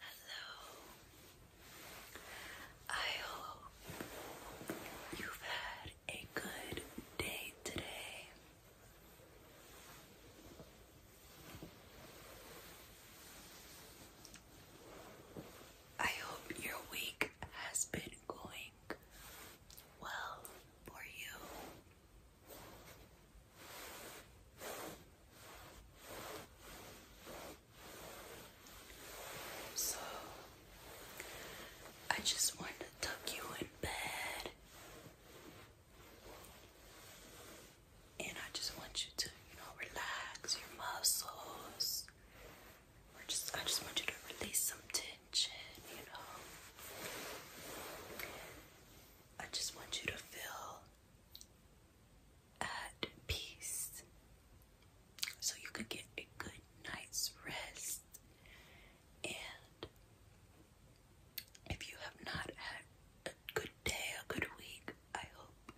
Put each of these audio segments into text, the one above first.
Hello. I hope you've had a good day today. I hope your week has been going well for you. So, I just want to tuck you in bed. And I just want you to, you know, relax your muscles. Or just I just want you to release some tension, you know. I just want you to feel at peace so you could get a good night's rest. And if you have not had a good day, a good week, I hope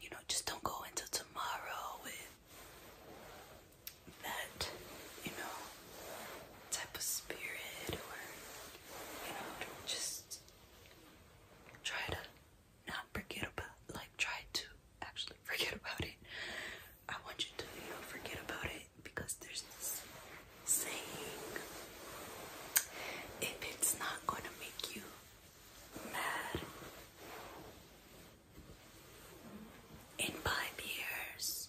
you know just don't go into tomorrow with that, you know, type of spirit or you know just try to not forget about like try to actually forget about it i want you to you know forget about it because there's this saying if it's not going to make you mad in five years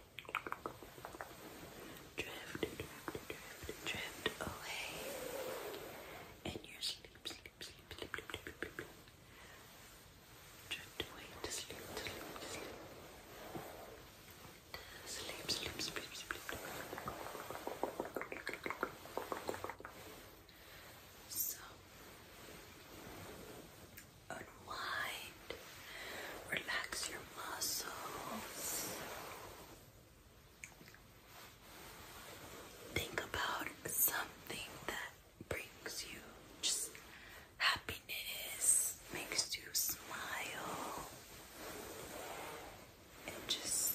Drift, drift, drift, drift away in your sleep, sleep, sleep, sleep, sleep, sleep, sleep, sleep. Drift away to sleep, to sleep, to sleep. To sleep, sleep, sleep, sleep, sleep. So, unwind Relax your muscles. Think about something that brings you just happiness, makes you smile, and just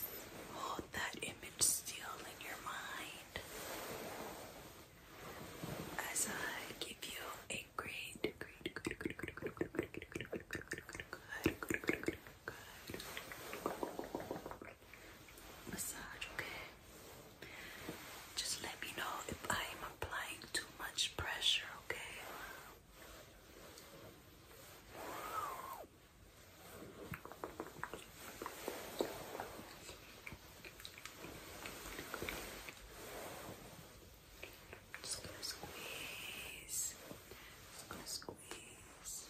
hold that image still in your mind as I give you a great Massage, okay? Just let me know if I'm applying too much pressure, okay? Just gonna squeeze. Just gonna squeeze.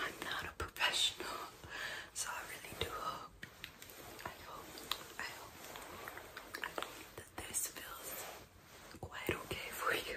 I'm not a professional, so I really do hope, I hope, I hope that this feels quite okay for you.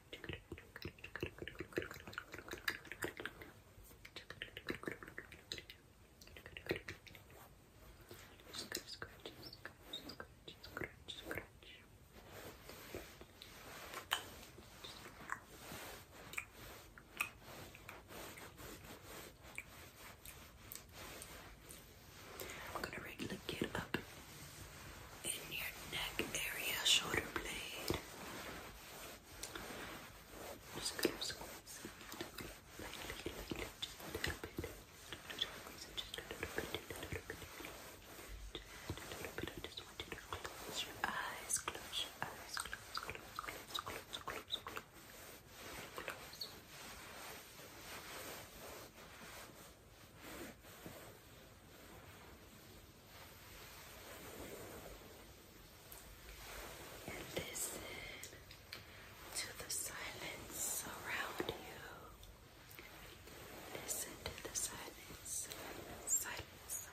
Scratch, scratch, scratch, scratch, scratch. I'm gonna regularly get up in your neck area, shoulder blade. just close your eyes, close eyes, close, close, close, close, close, close. Close and listen to the silence around you. Listen to the silence, silence, silence. silence.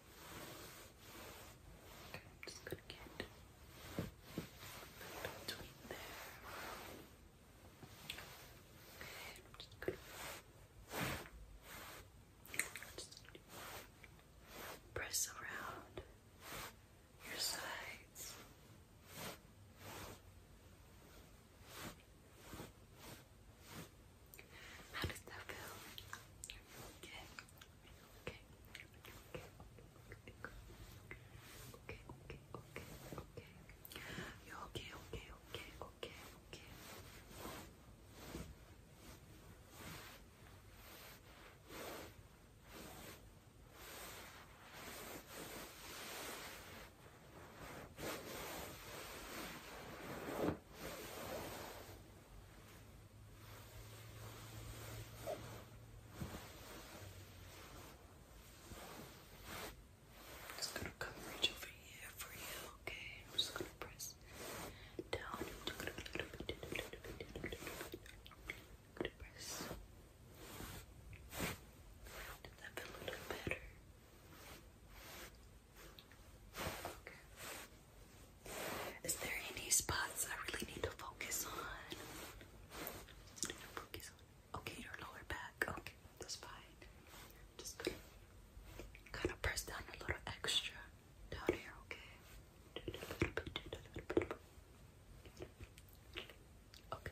Okay, I'm just gonna get between there. Okay, I'm just gonna press around your sides. How does that feel? Okay. Okay. Okay, okay, okay, okay. You're okay, okay, okay, okay, okay. Okay. I'm just gonna coverage over here for you, okay? just gonna press down. just gonna press. Did that feel a little better? Okay. Is there any spots I really need to focus on? Okay, your lower back. Okay, that's fine. Just kind of press down a little extra down here, Okay, okay. Okay.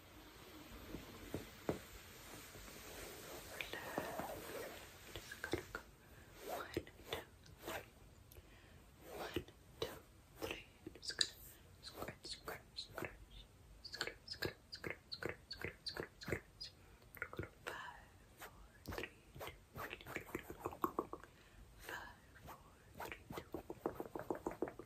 just gonna go one, two, three. One, two, three. I'm just gonna scratch, scratch, scratch, scratch, scratch, scratch, scratch, scratch, scratch, scratch. Five, four, three, two, one. Five, four, three, two. One.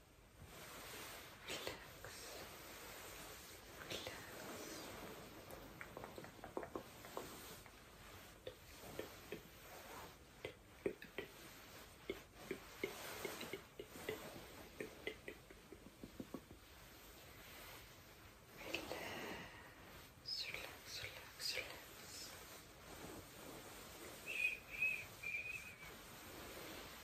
relax, relax, relax. Shh, shh, shh.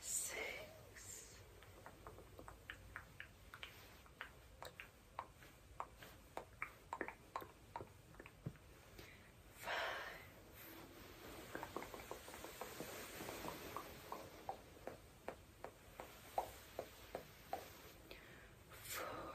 six, five. Four,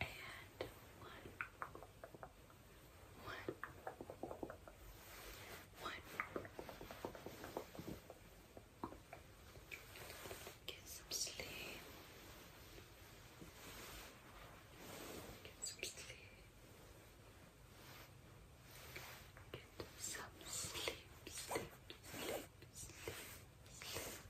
and one, one, one. Get some sleep. Get some sleep. Get some sleep, sleep, sleep, sleep, sleep.